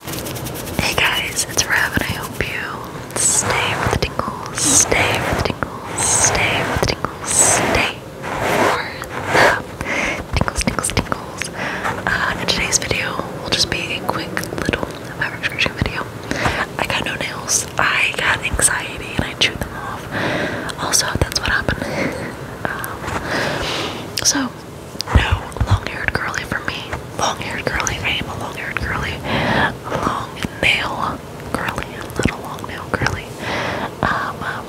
Hey guys, it's Rev and I hope you stay for the tingles, stay for the tingles, stay for the tingles, stay for the tingles, tingles, tingles. Uh, in today's video will just be a quick little fabric scratching video. I got no nails, I got anxiety and I chewed them off. Also, that's what happened. um, so, no, long-haired curly for me. Long-haired curly. I am long-haired curly. Long nail curly. little long nail curly. Um, um yeah.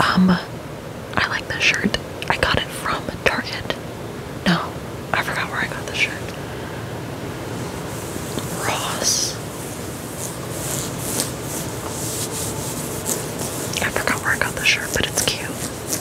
Um, I like this shirt. I got it from Target. No, I forgot where I got the shirt. Ross. I forgot where I got the shirt, but it's cute.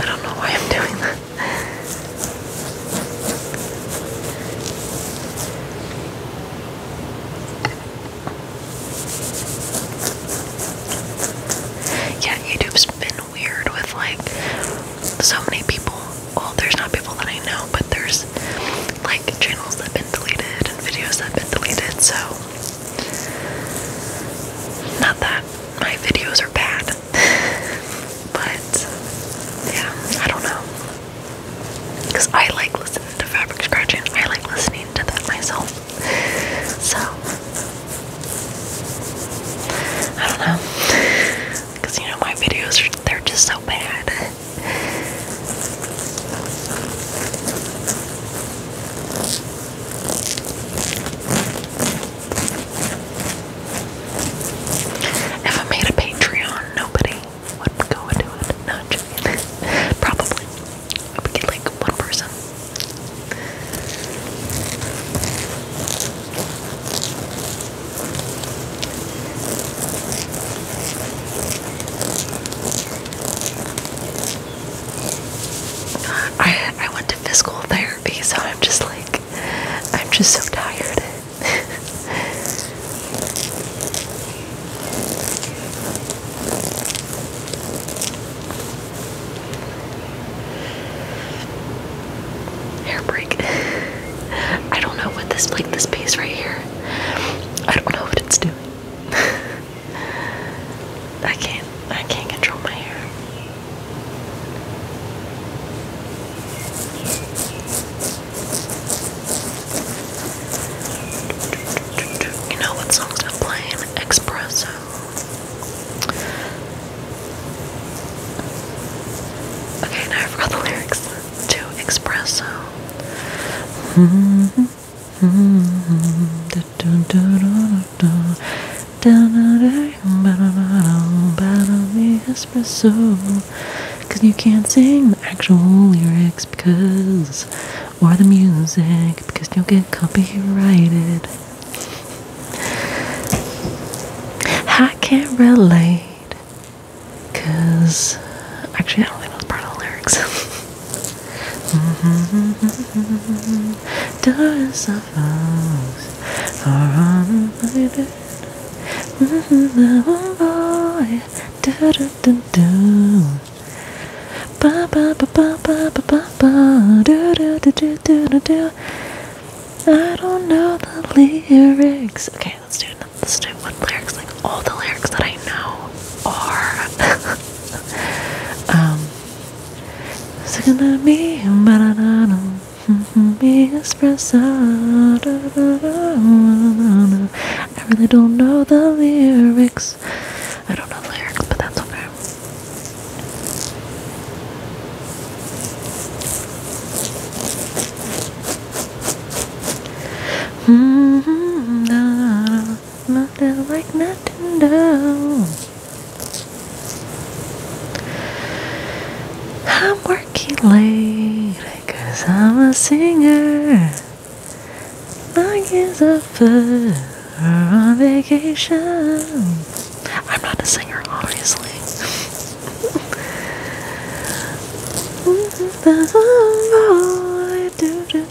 I don't know why I'm doing that. yeah, YouTube's been weird with like so many people. Well, there's not people that I know, but there's like channels that have been deleted and videos that have been deleted, so not that my videos are bad, but yeah, I don't know. Because I like listening to fabric scratching, I like listening to that myself. So, I don't know. Because you know, my videos are, they're just so bad. If I made a Patreon, nobody would go into it. Not just probably. I get like one person. I I went to physical therapy, so I'm just like I'm just so tired. Hair break. I don't know what this like this piece right here. I don't know what it's doing. I can't I can't control my hair. You know what songs playing? Espresso. Okay, now I forgot the lyrics to Espresso. espresso because you can't sing the actual lyrics because or the music because you'll get copyrighted I can't relate because actually I don't think that's part of the lyrics Mm -hmm. Doors of rose are on my bed. Mm -hmm. Oh boy, do do do do. Ba ba ba ba ba ba ba ba. Do do do do do do do. I don't know the lyrics. Okay, let's do another. Let's do one lyrics. Like all the lyrics that I know are. um. It's gonna be espresso. I really don't know the lyrics. I don't know the lyrics, but that's okay. Mm -hmm nothing like nothing though. I'm working late, cause I'm a singer. I guess a foot on vacation. I'm not a singer, obviously. Oh, do, do, da da da da da da da da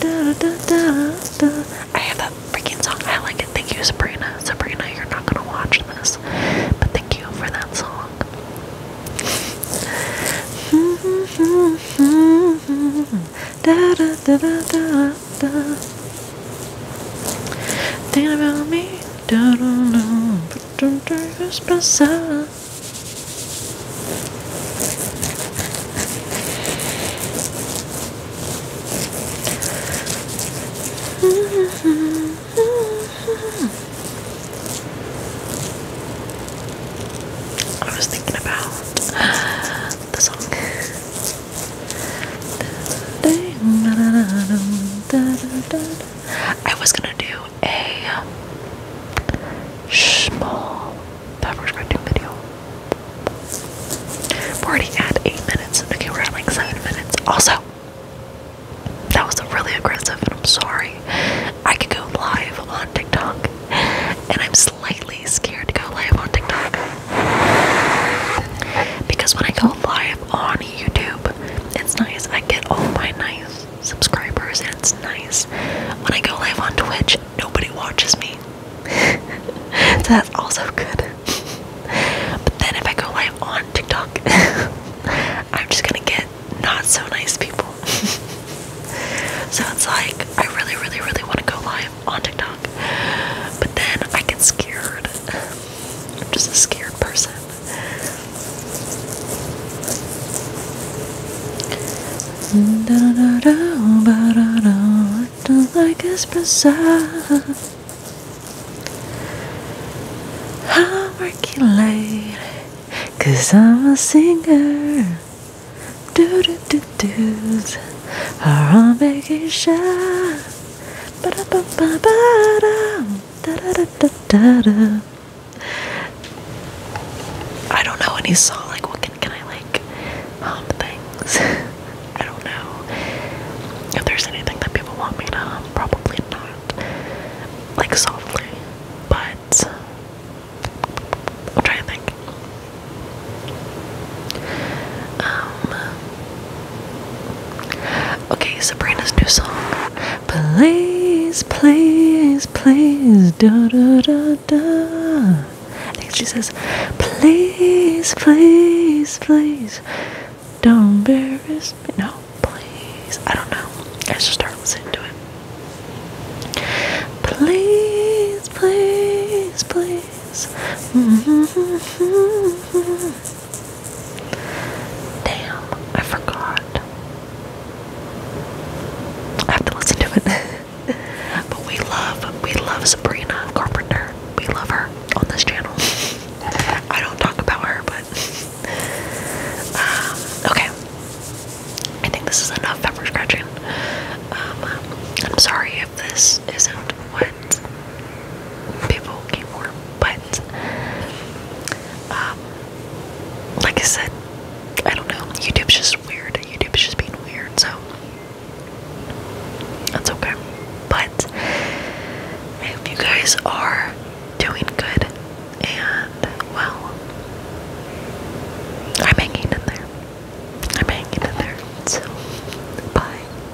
da da da da I have a freaking song. I like it. Thank you, Sabrina. Sabrina, you're not gonna watch this, but thank you for that song. da da da da da da Thinking about me, da da da espresso. I was thinking about the song. I was gonna do a small fabric crafting video. We're already at eight minutes. Okay, we're at like seven minutes. Also, that was really aggressive, and I'm sorry. I could go live on TikTok, and I'm slightly scared to go live on TikTok because when I go live on YouTube. It's nice. I get all my nice subscribers, and it's nice. When I go live on Twitch, nobody watches me. so that's also good. but then if I go live on TikTok, I'm just gonna get not so nice people. so it's like, I really, really, really want to go live on TikTok. But then I get scared. I'm just a scared person like espresso. I'm working late, cause I'm a singer. Do do do do's are on vacation. Ba da ba ba ba da. Da -da -da -da -da -da. I don't know any song. Like, what can can I like hum things? I don't know if there's anything that people want me to hum. Probably not. Like softly, but I'm trying to think. Um, Okay, Sabrina's new song. Please, please, please, da da da da. I think she says, please, please, please, don't embarrass me. No, please. I don't know. I just start listening to it. Please, please, please. Mm -hmm. Damn, I forgot. I have to listen to it. but we love, we love Sabrina Carpenter. We love her on this channel. I don't talk about her, but um, okay. I think this is enough pepper scratching. Um, I'm sorry if this isn't what People came for buttons. Um, like I said, I don't know. YouTube's just weird. YouTube's just being weird, so that's okay. But I hope you guys are doing good and well. I'm hanging in there. I'm hanging in there. So, bye.